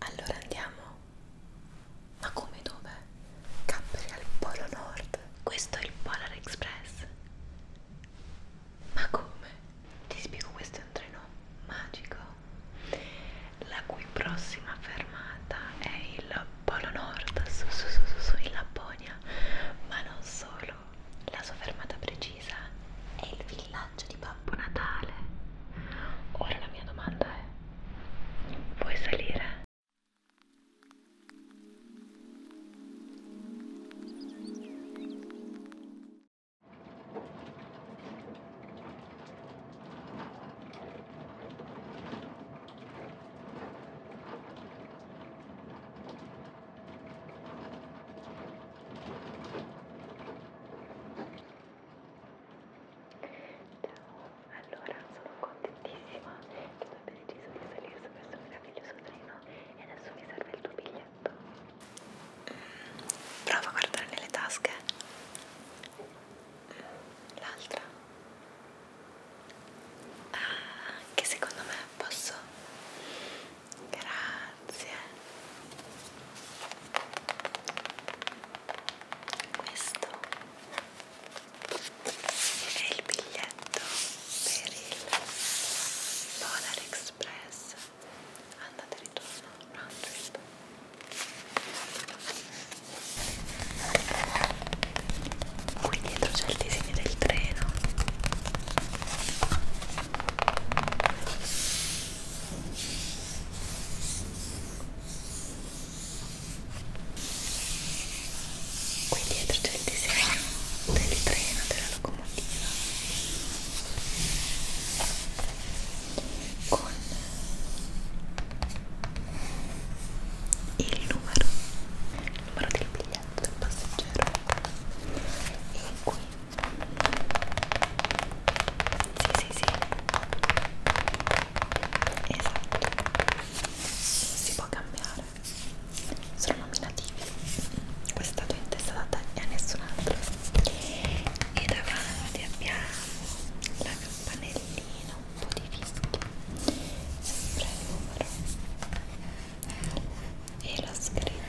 Allora andiamo? Ma come dove? Capperi al Polo Nord. Questo è il Polar Express. Ma come? Ti spiego, questo è un treno magico. La cui prossima fermata è il Polo Nord, su su su su, su in Lapponia. Ma non solo, la sua fermata precisa è il villaggio di Babbo Natale. Ora la mia domanda è, vuoi salire? Ciao, allora sono contentissima che tu abbia deciso di salire su questo meraviglioso treno e adesso mi serve il tuo biglietto. Prova a guardare nelle tasche. L'altra. Ah, anche secondo me posso. Grazie grazie questo è il biglietto per il Polar Express andate e ritorno round trip qui dietro c'è il disegno del treno qui dietro c'è il disegno del treno della locomotiva con il numero il numero del biglietto del passeggero e qui sì, sì, sì. Esatto. Si può cambiare. Sono nominativi. Questo è stato in testa da te e a nessun altro. E davanti abbiamo la campanellina, un po' di fischio. Sempre il numero. E l'ho scritto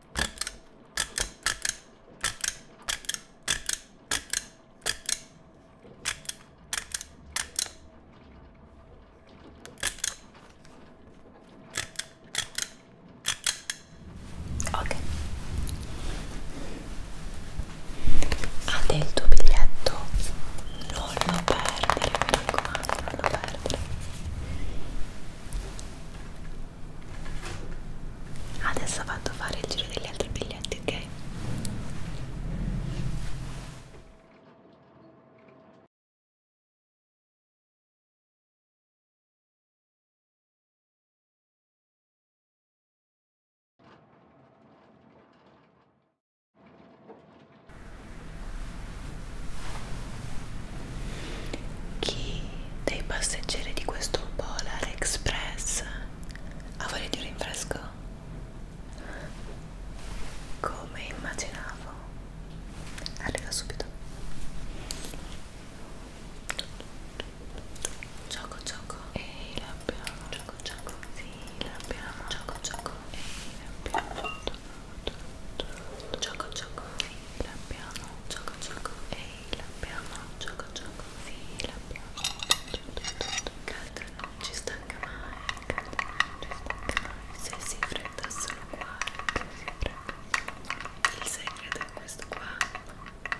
Ok. Ha del tuo biglietto. Non lo perdere, mi raccomando, non lo perdere. Adesso vado a fare il giro degli altri biglietti, ok? Chi dei passeggeri di questo Polar Express ha voglia di un rinfresco? Come immaginavo, arriva subito. Gioco, gioco e l'abbiamo. Gioco, gioco, sì, l'abbiamo. Gioco, gioco e l'abbiamo. Gioco, gioco, sì, l'abbiamo gioco gioco ehi l'abbiamo gioco gioco sì l'abbiamo calda non ci stanca mai calda non ci stanca mai se si fredda sono qua se si fredda il segreto è questo qua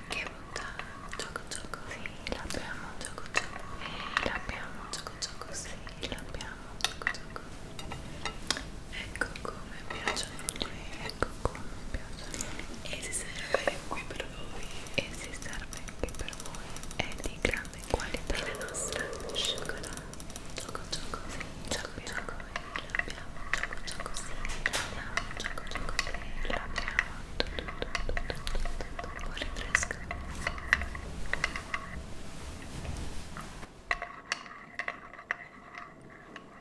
che bontà gioco gioco sì l'abbiamo gioco gioco ehi l'abbiamo gioco gioco sì l'abbiamo gioco gioco Ecco come piacciono qui, ecco come piacciono E si serve anche qui per voi E si serve anche per voi È di grande qualità la nostra cioccolata Gioco gioco sì, gioco gioco L'abbiamo, gioco gioco sì L'abbiamo, gioco gioco sì L'abbiamo Buon rinfresco Ecco ok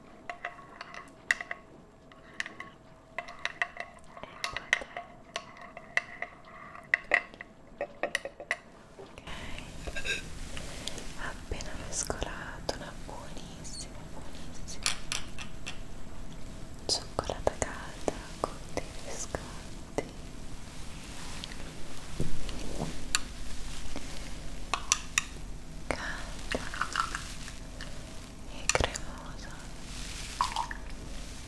appena mescolato una buonissima buonissima cioccolata calda con dei biscotti calda e cremosa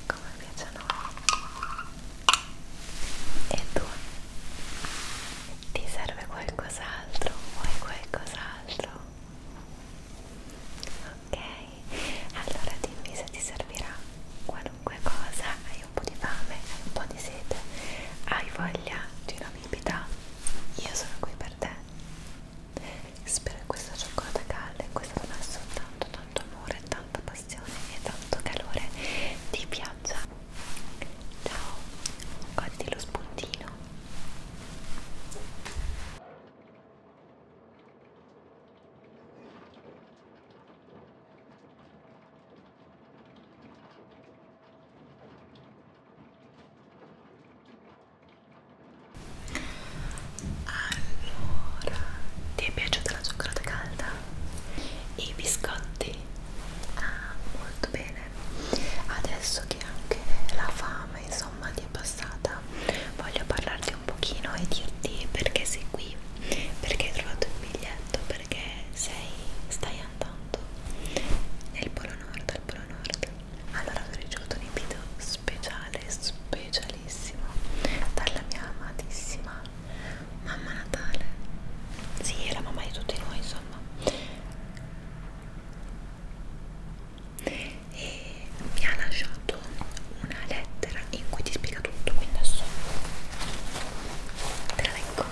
come piace a noi e tu? ti serve qualcos'altro? vuoi qualcos'altro? ok allora dimmi se ti servirà qualunque cosa hai un po' di fame hai un po' di sete hai voglia di una proibita, io sono qui per te. Spero che questa cioccolata calda in cui è stato messo tanto tanto amore, tanta passione e tanto calore ti piaccia. Ciao, guardi lo spuntino. Allora, ti è piaciuta la cioccolata calda? I biscotti? Ah, molto bene. Adesso che anche la fame, insomma, ti è passata, voglio parlarti un pochino e dirti perché sei qui, perché hai trovato il biglietto, perché sei, stai stai andando nel polo nord al polo nord allora ho ricevuto un invito speciale specialissimo dalla mia amatissima mamma natale si sì, è la mamma di tutti noi insomma e mi ha lasciato una lettera in cui ti spiega tutto quindi adesso te la leggo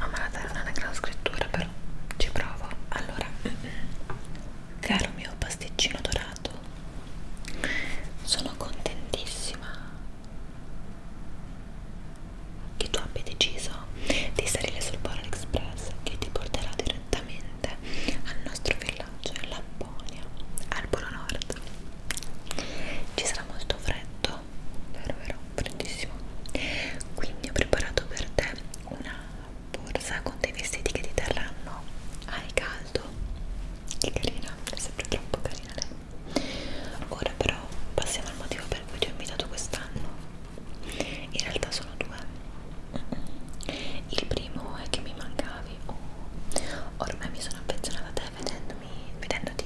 No, ma la terra non è gran scrittura, però ci provo. Allora, caro mio pasticcino dorato, sono contentissima che tu abbia deciso di salire sul Polar Express che ti porterà direttamente al nostro villaggio in Lapponia, al Polo Nord. Ci sarà molto freddo, vero vero, freddissimo. Quindi ho preparato per te una borsa con dei vestiti che ti terranno al caldo. Che carina, è sempre troppo carina lei. Ora però passiamo al motivo per cui ti ho invitato quest'anno. In realtà sono due. Il primo è che mi mancavi. Oh, ormai mi sono affezionata a te vedendomi, vedendoti,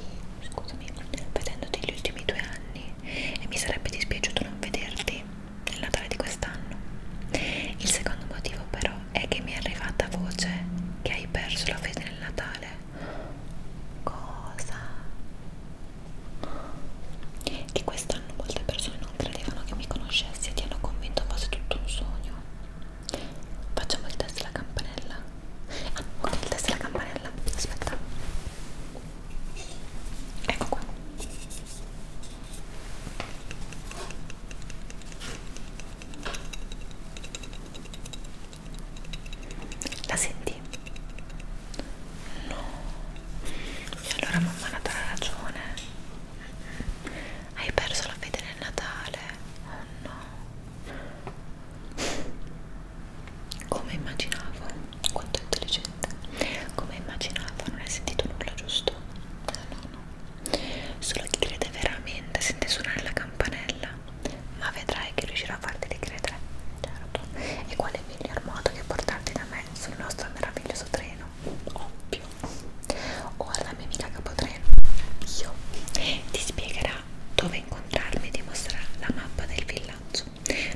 scusami, vedendoti gli ultimi due anni e mi sarebbe dispiaciuto non vederti nel Natale di quest'anno. Il secondo motivo però è che mi è arrivata voce che hai perso la fede nel Natale cosa che quest'anno molte persone non credevano che mi conoscessi e ti hanno convinto fosse tutto un sogno facciamo il test della campanella ah ok il test della campanella aspetta ecco qua la senti? No. E allora mamma Natale ha ragione. Hai perso la fede nel Natale. Oh no. Come immaginavo. Quanto è intelligente. Come immaginavo, non hai sentito nulla, giusto? No, no, no. Solo chi crede veramente sente suonare la campanella ma vedrai che riuscirò a farti ricredere certo e quale miglior modo che portarti da me sul nostro meraviglioso treno ovvio o alla mia amica capotreno io ti spiegherà dove incontrarmi e ti mostrerà la mappa del villaggio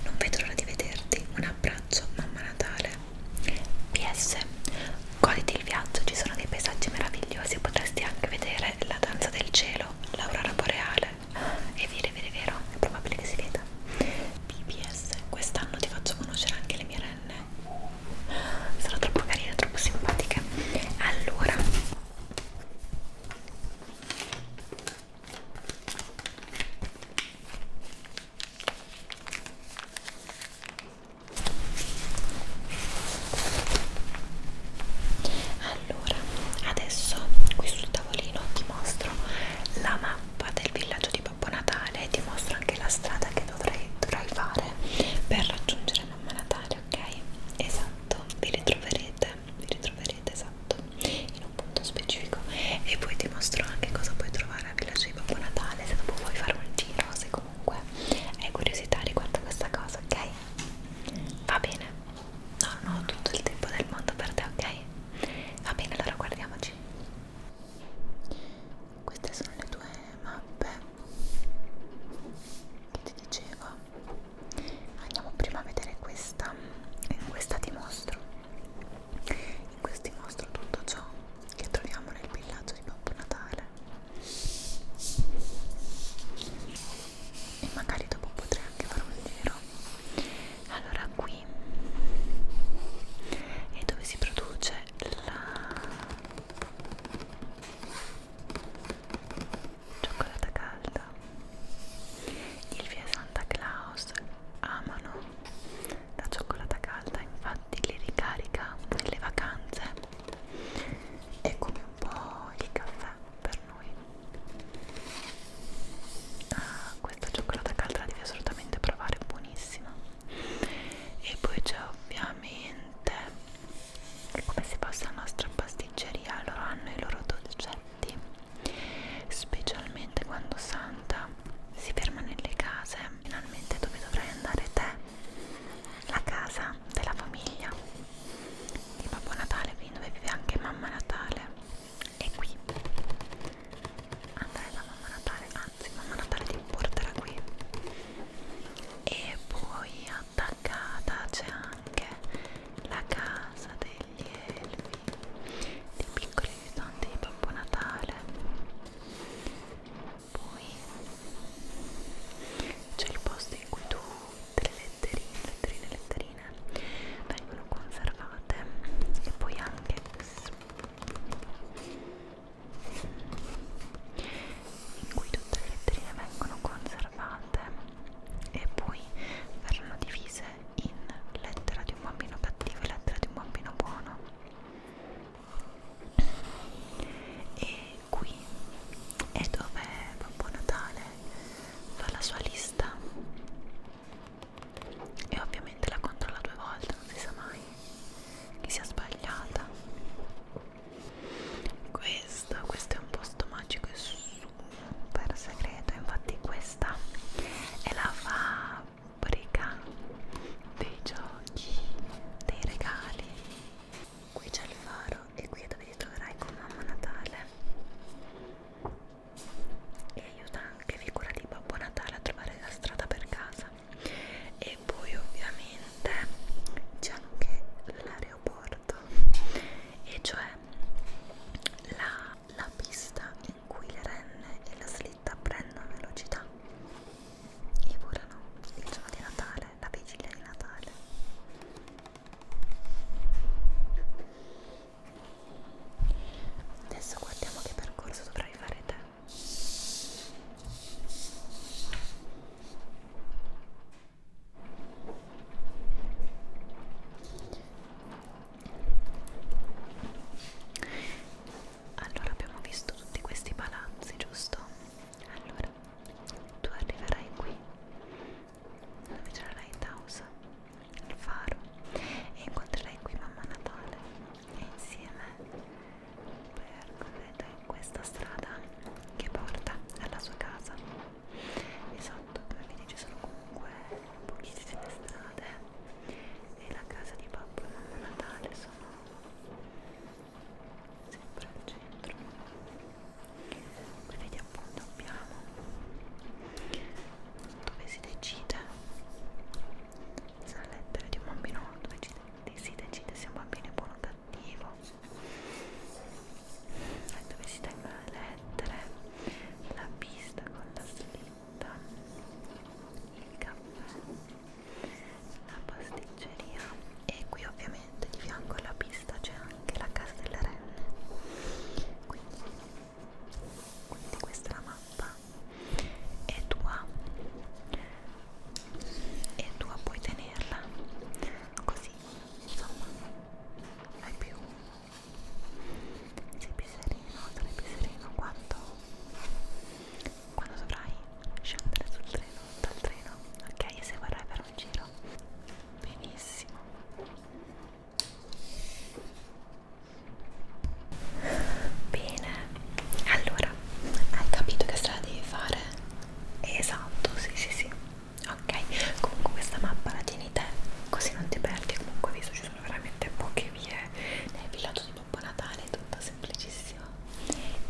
non vedo l'ora di vederti un abbraccio mamma natale ps goditi il viaggio ci sono dei paesaggi meravigliosi potresti anche vedere re, la danza del cielo, l'aurora boreale. È vero, è vero, è vero, è probabile che si veda. BBS, quest'anno ti faccio conoscere anche le mie renne. Sono troppo carine, troppo simpatiche. Allora, allora adesso qui sul tavolino ti mostro la mappa del villaggio di Babbo Natale e ti mostro anche la strada che dovrai, dovrai fare per raggiungere Mamma Natale ok? esatto vi ritroverete vi ritroverete esatto in un punto specifico e poi ti mostro anche cosa puoi trovare al villaggio di Babbo Natale se dopo vuoi fare un giro se comunque hai curiosità riguardo a questa cosa ok? Va bene? No, no, ho tutto il tempo del mondo per te, ok? Va bene, allora guardiamoci. Queste sono le due mappe che ti dicevo. Andiamo prima a vedere questa. In eh, questa ti mostro. In questo ti mostro tutto ciò che troviamo nel villaggio di Babbo Natale e magari dopo potrei anche fare un giro allora qui è dove si produce la cioccolata calda il via Santa Claus amano la cioccolata calda infatti li ricarica nelle vacanze è come un po' il caffè per noi ah, questa cioccolata calda la devi assolutamente provare è buonissima e poi c'è ovviamente come si passa alla nostra pasticceria loro hanno i loro dolcetti specialmente quando Santa si ferma nelle case finalmente dove dovrai andare te la casa della famiglia di Babbo Natale, quindi dove vive anche Mamma Natale. E qui andrà da Mamma Natale, anzi Mamma Natale ti porterà qui. E poi attaccata c'è anche la casa degli elfi, dei piccoli aiutanti di Babbo Natale. Poi c'è il posto in cui tu delle letterine, letterine, letterine vengono conservate e poi anche in cui tutte le letterine vengono conservate e poi verranno divise in lettera di un bambino cattivo e lettera di un bambino buono e qui è dove Babbo Natale fa la sua lista e ovviamente la controlla due volte, non si sa mai che sia sbagliata. Questo, questo è un posto magico e super segreto, infatti questa è la fabbrica dei giochi, dei regali qui c'è il faro e qui è dove ti troverai con mamma Natale e aiuta anche figura di Babbo Natale a trovare la strada per casa e poi ovviamente c'è anche l'aeroporto e cioè la, la pista in cui le renne e la slitta prendono velocità e volano il giorno di Natale Natale, la vigilia di Natale. Adesso guardiamo che percorso dovrai fare te. Allora abbiamo visto tutti questi palazzi, giusto? Allora Star tu arriverai qui dove troverai Tausa, il faro e incontrerai qui mamma Natale e insieme percorrete questa strada che porta alla sua casa e sotto come vedi ci sono comunque pochissime strade e la casa di Babbo e Mamma Natale sono sempre al centro come vedi appunto abbiamo dove si decide la lettera di un bambino dove si decide se un bambino è buono o cattivo e dove si tengono le lettere la pista con la slitta il caffè la pasticceria e qui ovviamente ovviamente di fianco alla pista c'è anche la casa delle renne quindi, quindi questa è la mappa e tua e tua puoi tenerla così insomma hai più sei più sereno sarai più sereno quando quando dovrai scendere sul treno dal treno ok e se vorrai per un giro benissimo bene allora hai capito che strada devi fare esatto sì sì sì ok comunque questa mappa la tieni te così non ti perdi comunque visto ci sono veramente poche vie nel villaggio di Babbo Natale è tutta semplicissima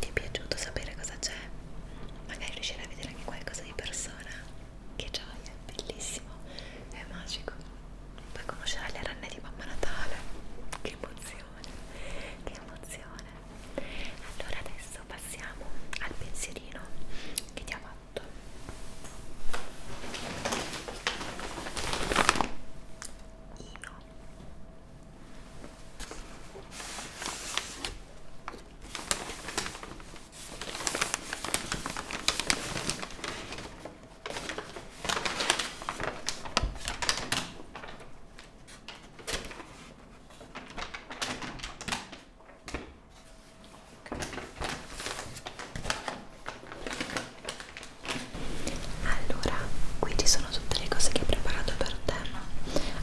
ti è piaciuto sapere cosa c'è magari riuscirai a vedere anche qualcosa di persona che gioia, è bellissimo è magico poi conoscerai le rane di Mamma Natale che emozione che emozione allora adesso passiamo al pensierino che ti ha fatto io allora, qui ci sono tutte le cose che ho preparato per te,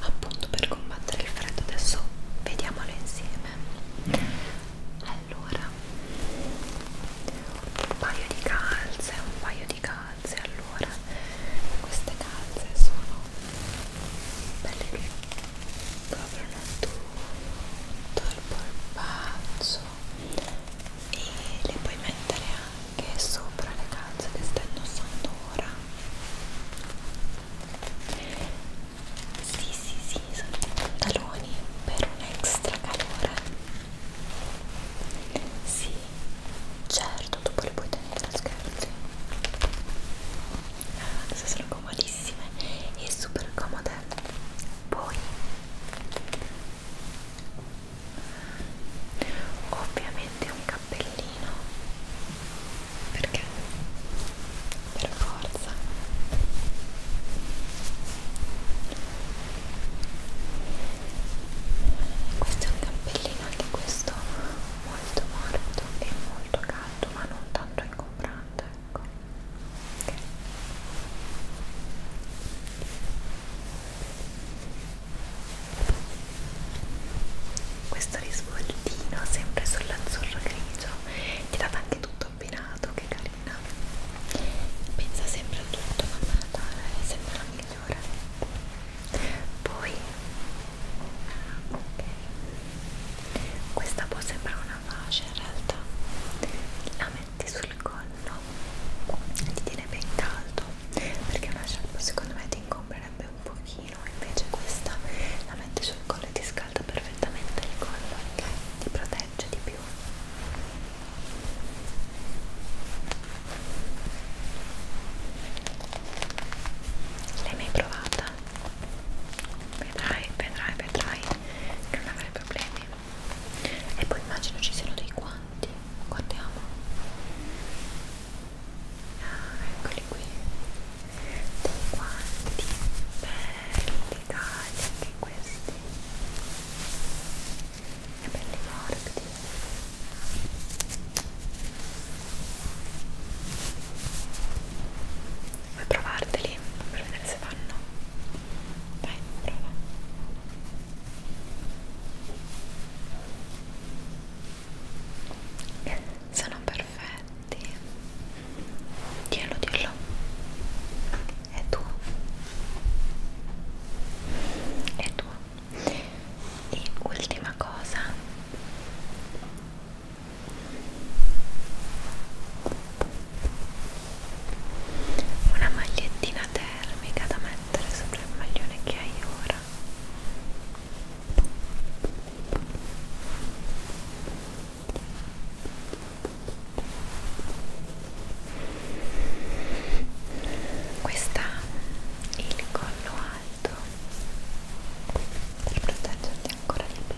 appunto per combattere il freddo adesso vediamolo insieme allora un paio di calze un paio di calze allora queste calze sono belle che coprono tutto il polpaccio e le puoi mettere anche sopra le calze che stai indossando ancora sì sì sì sono i pantaloni per un extra calore sì certo dopo li puoi tenere a scherzi adesso ah, sono comodissime e super comode poi ovviamente un cappellino perché? per forza questo è un cappellino anche questo molto morbido e molto caldo ma non tanto ingombrante ecco okay questo risvoltino sempre sull'azzurro grigio ti dà anche tutto abbinato che carina pensa sempre a tutto mamma Natale è sempre la migliore poi ah, ok questa può sembrare una pace in realtà la metti sul collo ti tiene ben caldo perché una sciarpa secondo me ti incombrerebbe un pochino pochino invece questa la metti sul collo e ti scalda perfettamente il collo ok? ti protegge di più l'hai mai provata? vedrai, vedrai, vedrai che non avrai problemi e poi immagino ci siano dei guanti guardiamo Ah, eccoli qui. Dei guanti belli cari anche questi. E belli morti. Vuoi provarteli per vedere se vanno? Dai, prova sono perfetti dillo dillo è tuo è tuo e ultima cosa una magliettina termica da mettere sopra il maglione che hai ora questa il collo alto per proteggerti ancora di più.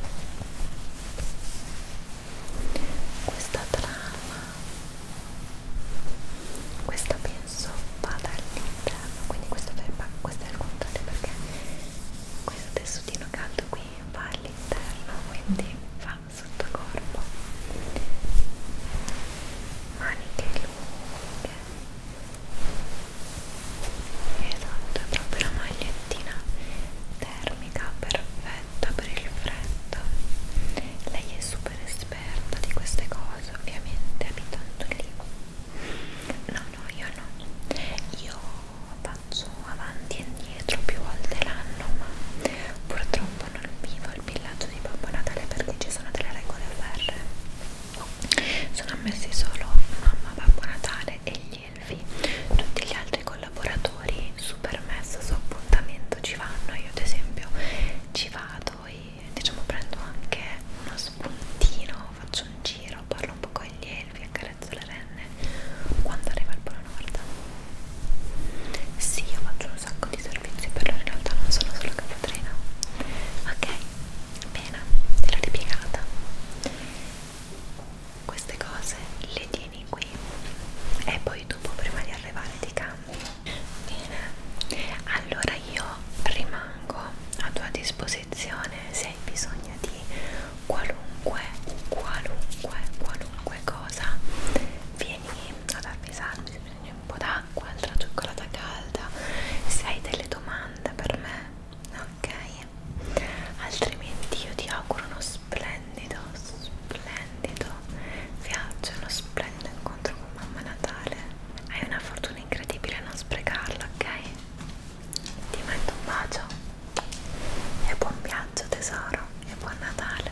Questa trama, questa pianta penso vada all'interno quindi questo è, per, questo è il contrario perché questo tessutino caldo qui va all'interno quindi va sotto corpo maniche lunghe esatto è proprio la magliettina termica perfetta per il freddo lei è super esperta di queste cose ovviamente abitando lì no no io no io faccio avanti e indietro più volte l'anno ma purtroppo non vivo il villaggio di Babbo Natale perché ci sono delle regole ferre sono ammessi solo mamma, Babbo Natale e gli elfi tutti gli altri collaboratori su permesso, su appuntamento ci vanno io ad esempio ci vado poi diciamo prendo anche uno spuntino, faccio un giro, parlo un po' con gli elfi, accarezzo le renne quando arriva il Polo Nord. Sì, io faccio un sacco di servizi per loro, in realtà non sono solo capatrina. Ok, bene, te l'ho ripiegata. Queste cose le tieni qui e poi dopo prima di arrivare ti cambio. Bene, allora Guarda, io rimango a tua disposizione se hai bisogno di qualunque, qualunque, qualunque cosa. Vieni ad avvisarmi se prendi un po' d'acqua, altra cioccolata calda, se hai delle domande per me, ok? Altrimenti io ti auguro uno splendido, splendido viaggio, uno splendido incontro con Mamma Natale. Hai una fortuna sono incredibile non sprecarla, ok? Ti metto un bacio e buon viaggio tesoro e buon Natale